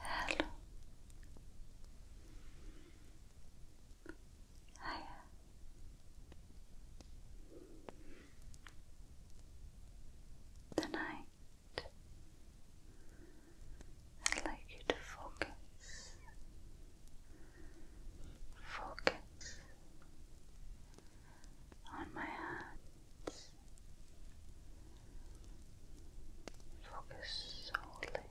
Hello. Hiya. The I'd like you to focus. Focus on my hand. Focus solely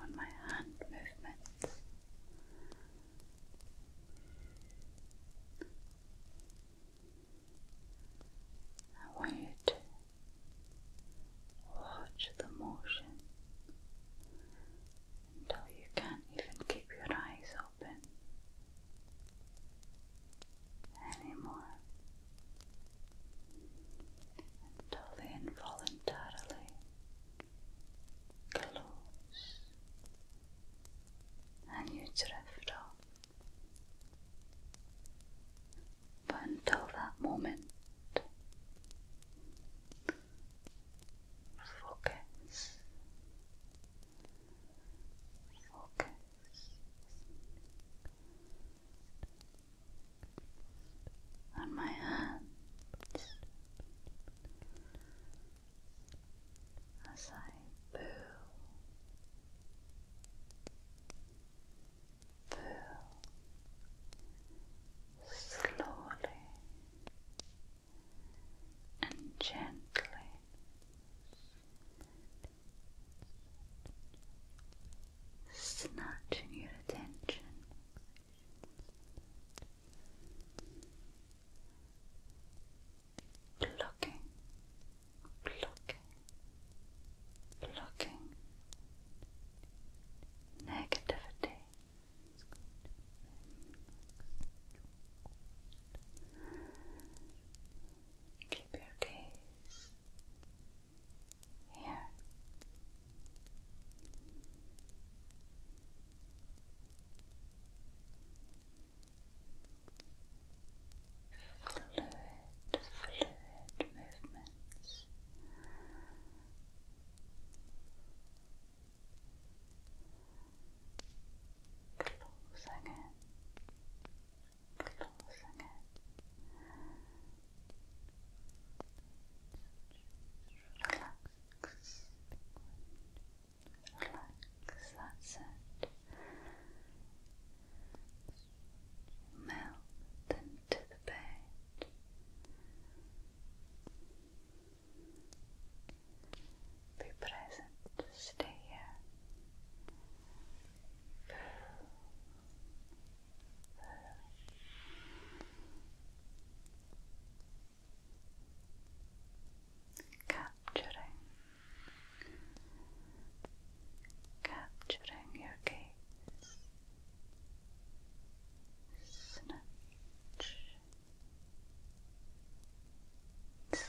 on my hand movements. I want you watch the motion until you can't even keep your eyes open anymore until they involuntarily close and you drift off. But until that moment, focus, focus on my hands as I pull, pull slowly and gently snatching your attention. Plucking, plucking, plucking negativity Keep your gaze here. Fluid, fluid movements closing it, closing Relax, relax. That's it. Melt into the bed. Be present. to Stay here. Capturing, capturing your gaze. Snatch, snatch,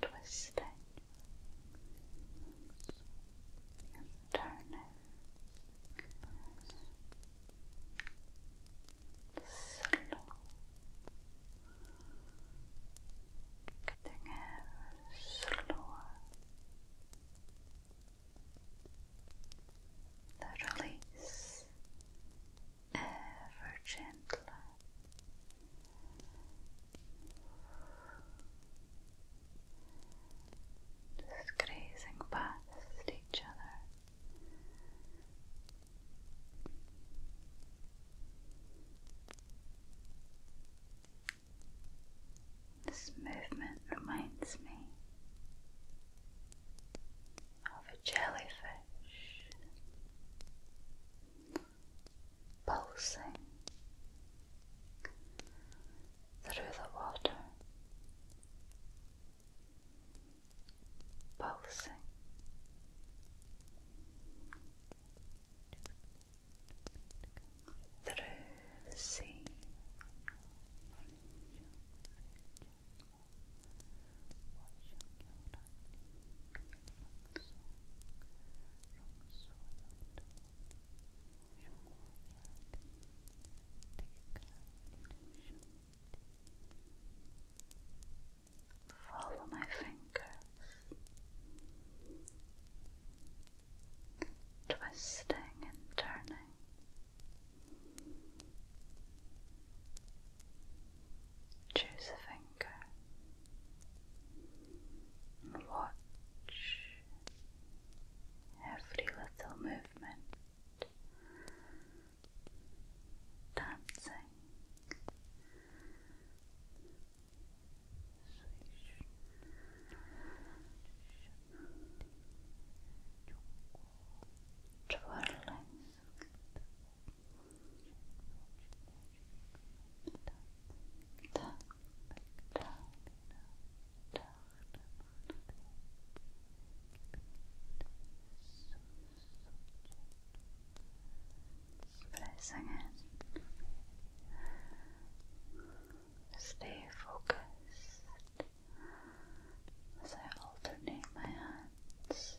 twisting turning slow getting slower the release ever gentler. grazing past each other. This movement reminds me of a jellyfish pulsing through the water, pulsing. Through the sea, Follow my fingers, twisting and turning. Choose a finger. Watch every little movement dancing. Twirling Pressing in. Stay focused as I alternate my hands.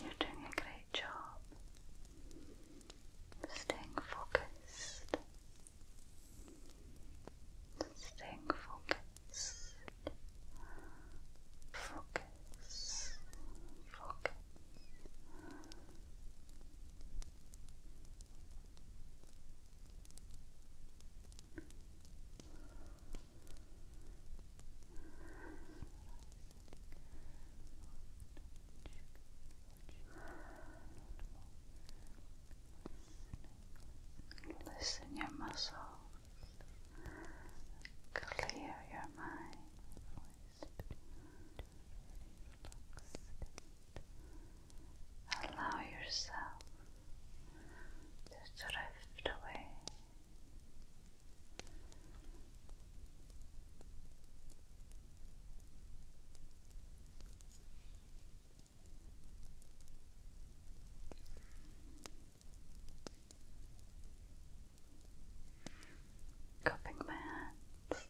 You're doing a great job staying focused, staying focused, focused focus, Listen your muscles, clear your mind relaxed allow yourself to drift away Relax cupping my hands.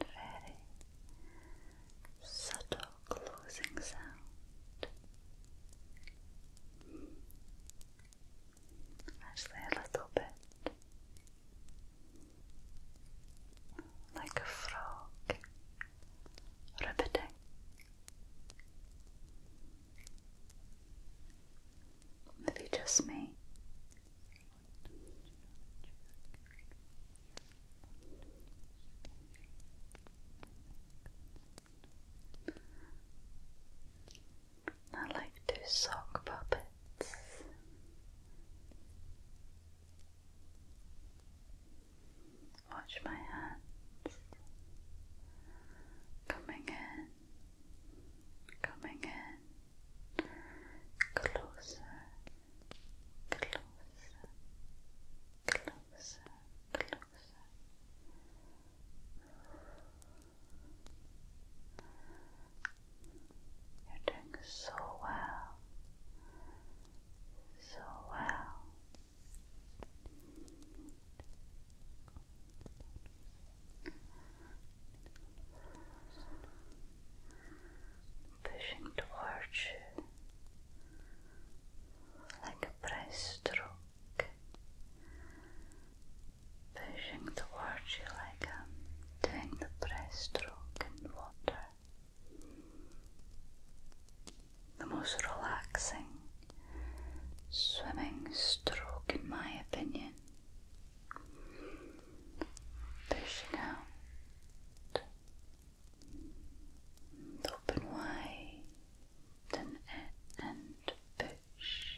Very subtle closing sound. Actually, a little bit like a frog ribbiting. Maybe just me. I like to sock puppets. Watch my hands coming in, coming in closer, closer, closer, closer. You're doing so well so well. Pushing towards you like a breast pushing towards you like I'm doing the breast in water the most relaxing swimming stroke, in my opinion. Pushing out, open wide, and in and push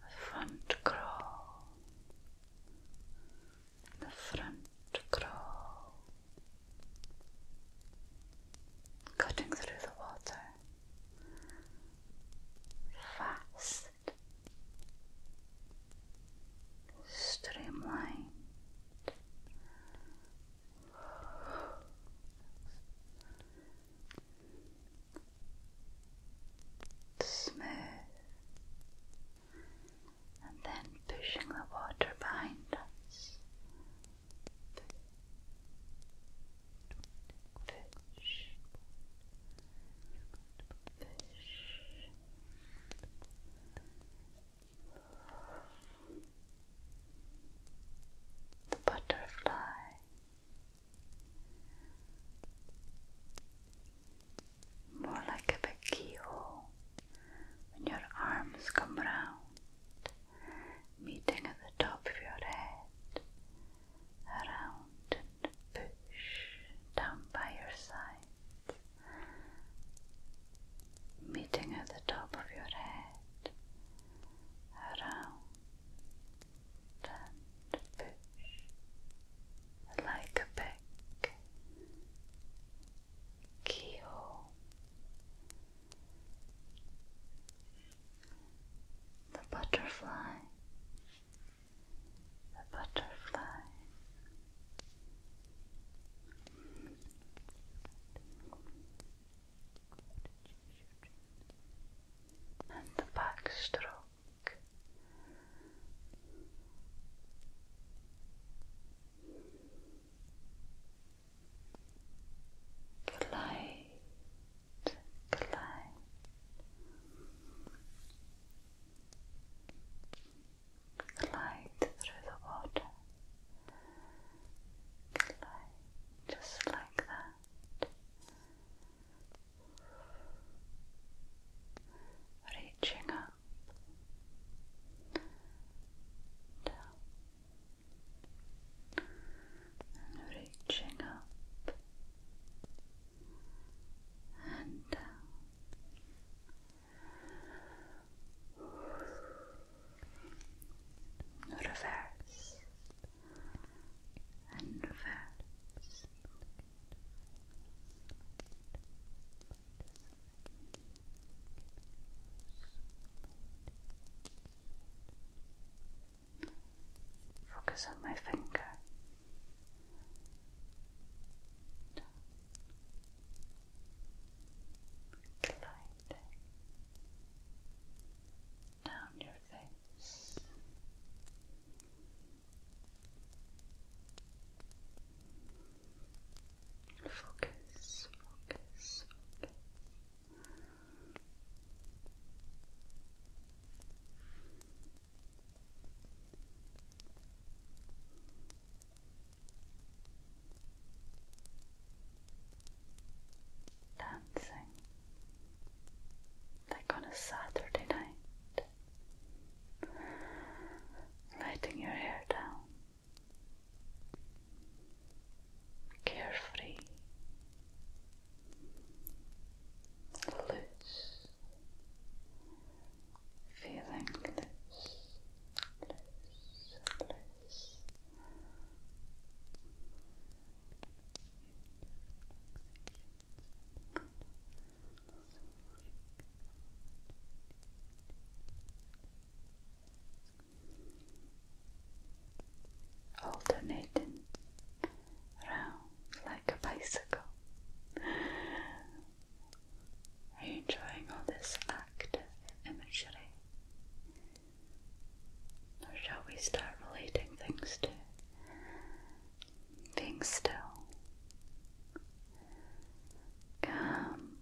the front crawl, the front crawl, cutting through the water fast, streamlined smooth, and then pushing the water behind us. Push, push. The butterfly more like a big when your arms come round, meeting at the top of your head, around and push down by your sides, meeting at the top of your head, around like a big keyhole. The butterfly, the butterfly and the backstroke. Glide, glide. Glide through the water. Glide just like that reaching up, down, and reaching up and down. Reverse and fats. Focus on my finger. Gliding down your face. Focus, focus, Dancing like on a Saturday night, letting your hair down, carefree, loose, feeling loose, loose, loose alternating round like a bicycle. Are you enjoying all this active imagery? Or shall we start relating things to things still? Calm.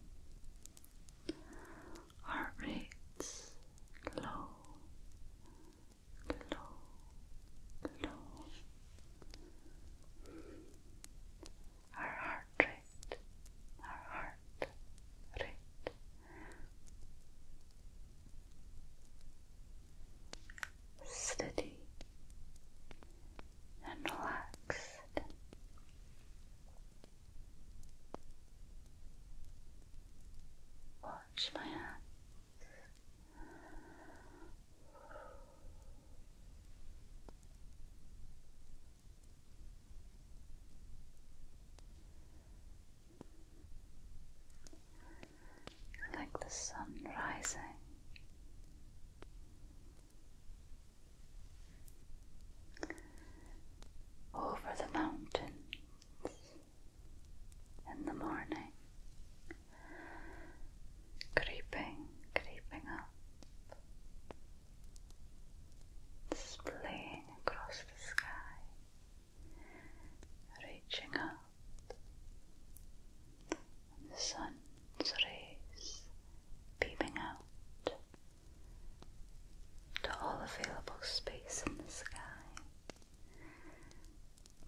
Heart low, low, low. Our heart rate, our heart rate steady and relaxed. Watch my hands like the sun rising. Over the mountains in the morning, creeping, creeping up, splaying across the sky, reaching out, the sun's rays beaming out to all available space in the sky.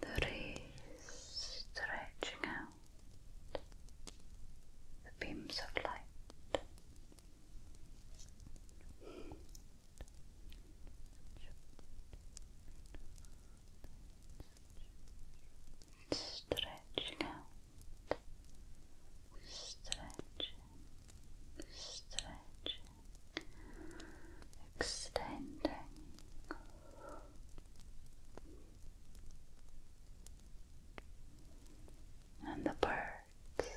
The rays stretching out, the beams of light. Stretching out, stretching, extending. And the birds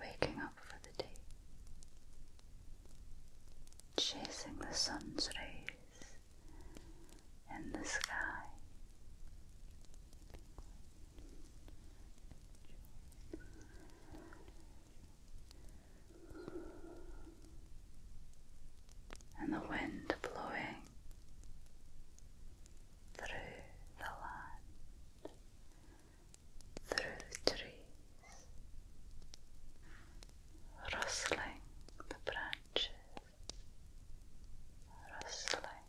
Waking up for the day, chasing the sun's rays in the sky. And the wind blowing through the land through the trees, rustling the branches, rustling, rustling,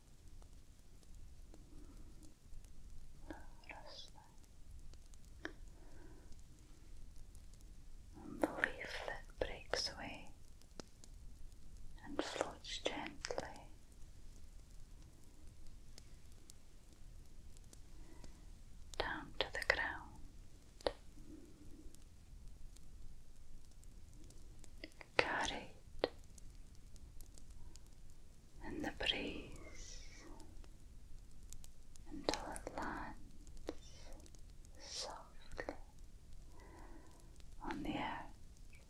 and the leaf that breaks away and floats gently down to the ground. Carried in the breeze until it lands softly on the earth.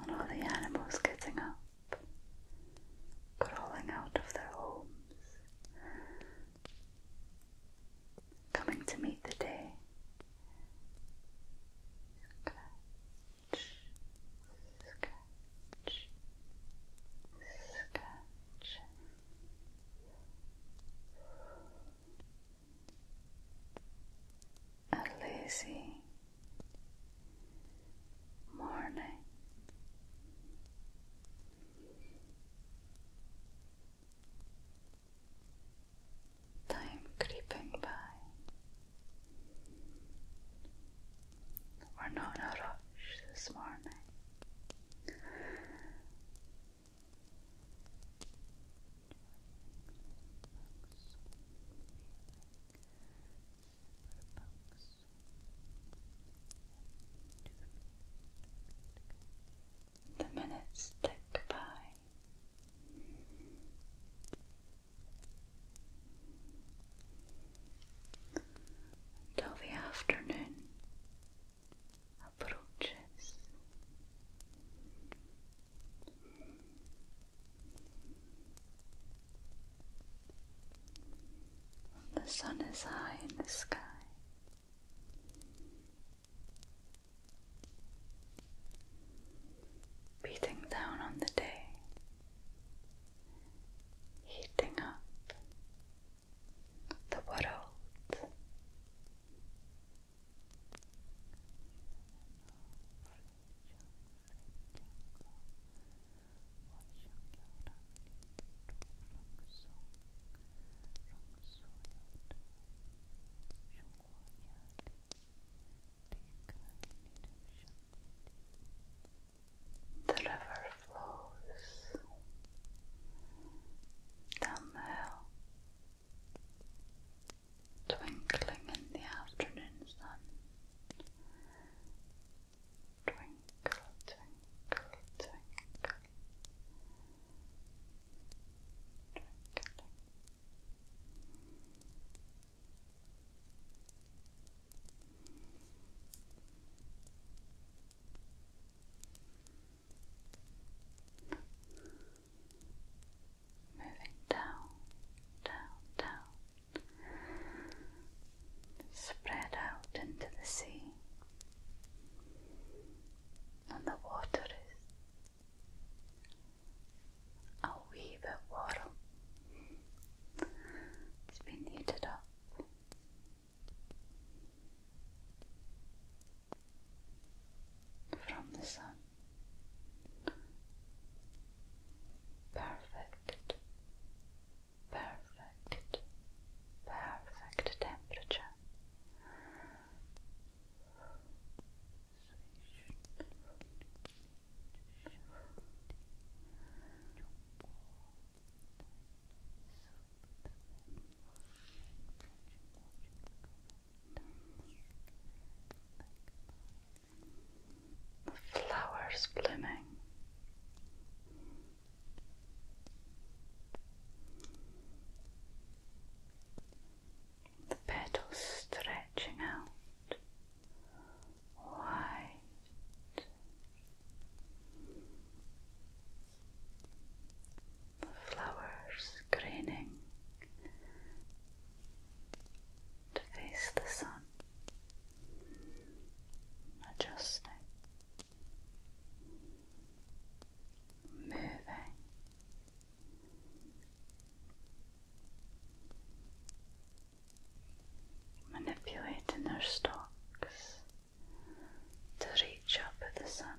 and all the animals getting up, crawling out of their homes, coming to meet the day a lazy morning. Time creeping by. We're not in a rush this morning. The minutes tick by. Until the afternoon approaches. The sun is high in the sky. Beating down on the day, heating up the world the river flows down the hill twinkling in the afternoon sun. Twinkle, twinkle, twinkle. Twinkling. Moving down, down, down, spread out into the sea, and the water is a wee bit It's been heated up from the sun. Perfect, perfect, perfect temperature. The flowers blooming. The petals stretching out wide. The flowers greening to face the sun, adjusting, moving. Manipulating their stalks to reach up at the sun.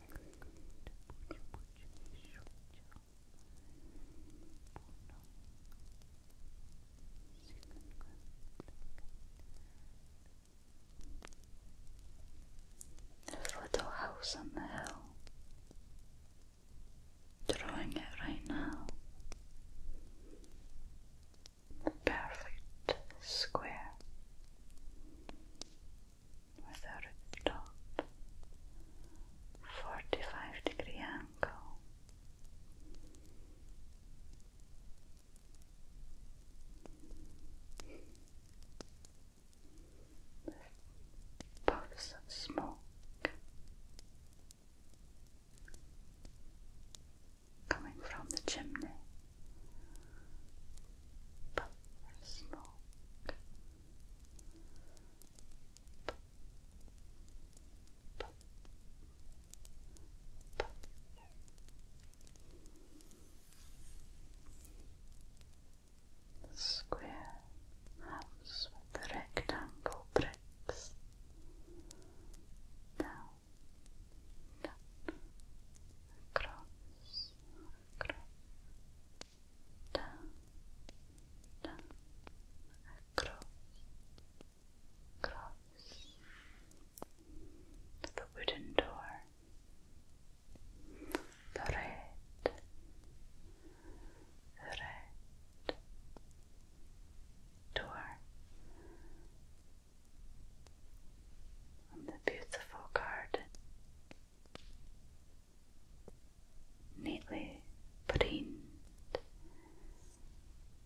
This little house on the hill. Drawing it right now. Perfect square without a top, 45 degree angle. With puffs of smoke coming from the chimney, puffs of smoke the square house with the rectangle bricks. Down, down, down, across, across the wooden door, the door on the beautiful garden neatly put in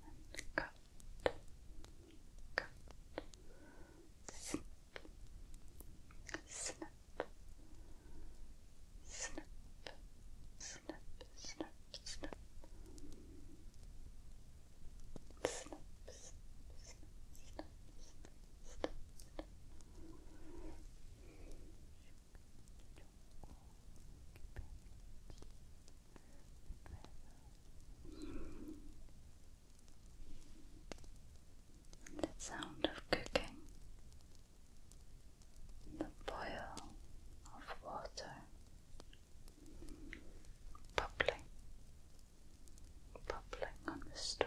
and cut, cut, snip, snip, snip, snip, snip. Snip, snip, snip, snip, snip, snip, the sound of cooking, the boil of water, bubbling, bubbling on the stove.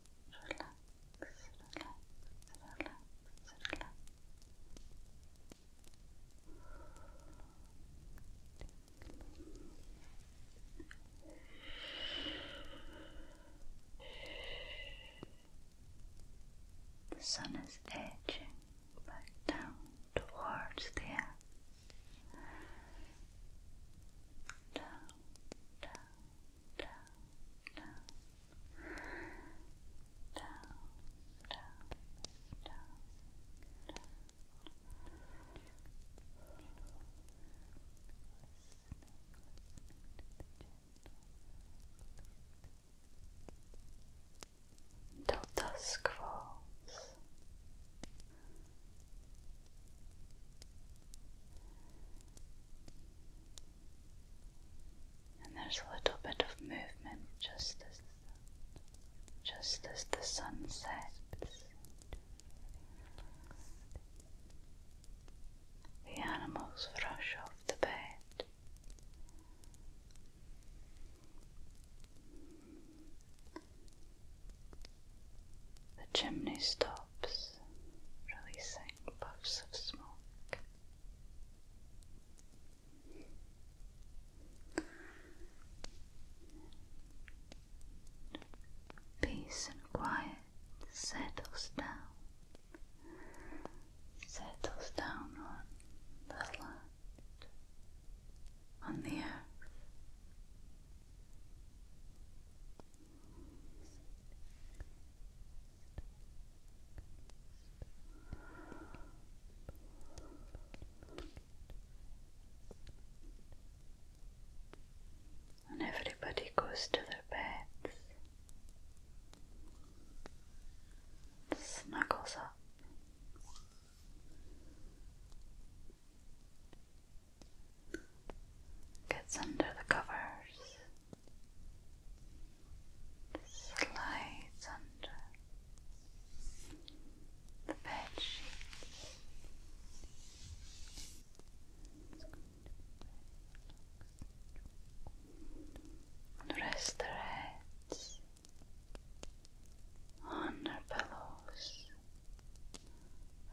relax, relax, relax. The sun is edging back down towards the earth. Down, down, down, down, down, and there's a little bit of movement just as just as the sun sets. The animals rush off the bed. The chimney stops, releasing puffs of smoke. Peace and quiet settles down, settles down on the land, on the earth. And everybody goes to their beds, snuggles up gets under the covers, slides under the bed sheets. Rest their heads on their pillows.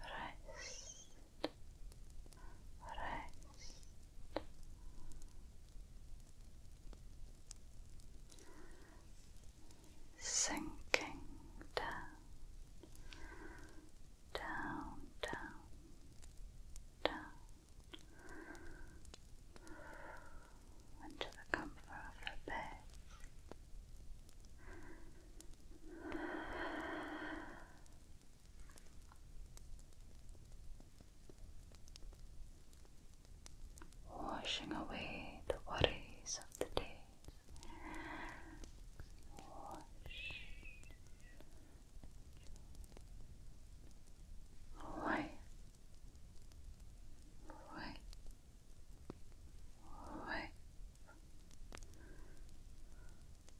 Rest rest. Sinking down, down, down, down into the comfort of the bed. Washing away the worries of the day. Wash. Wipe. Wipe.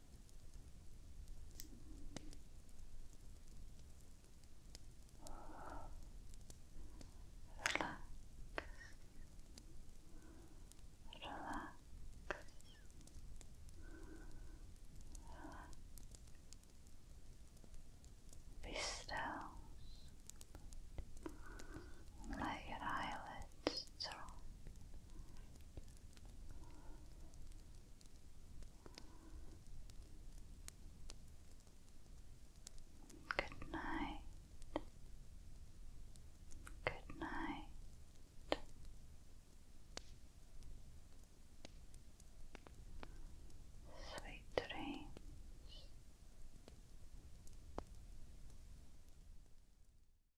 Relax. Relax. Relax. Be still let your eyelids drop Good night. Good night. Sweet dreams.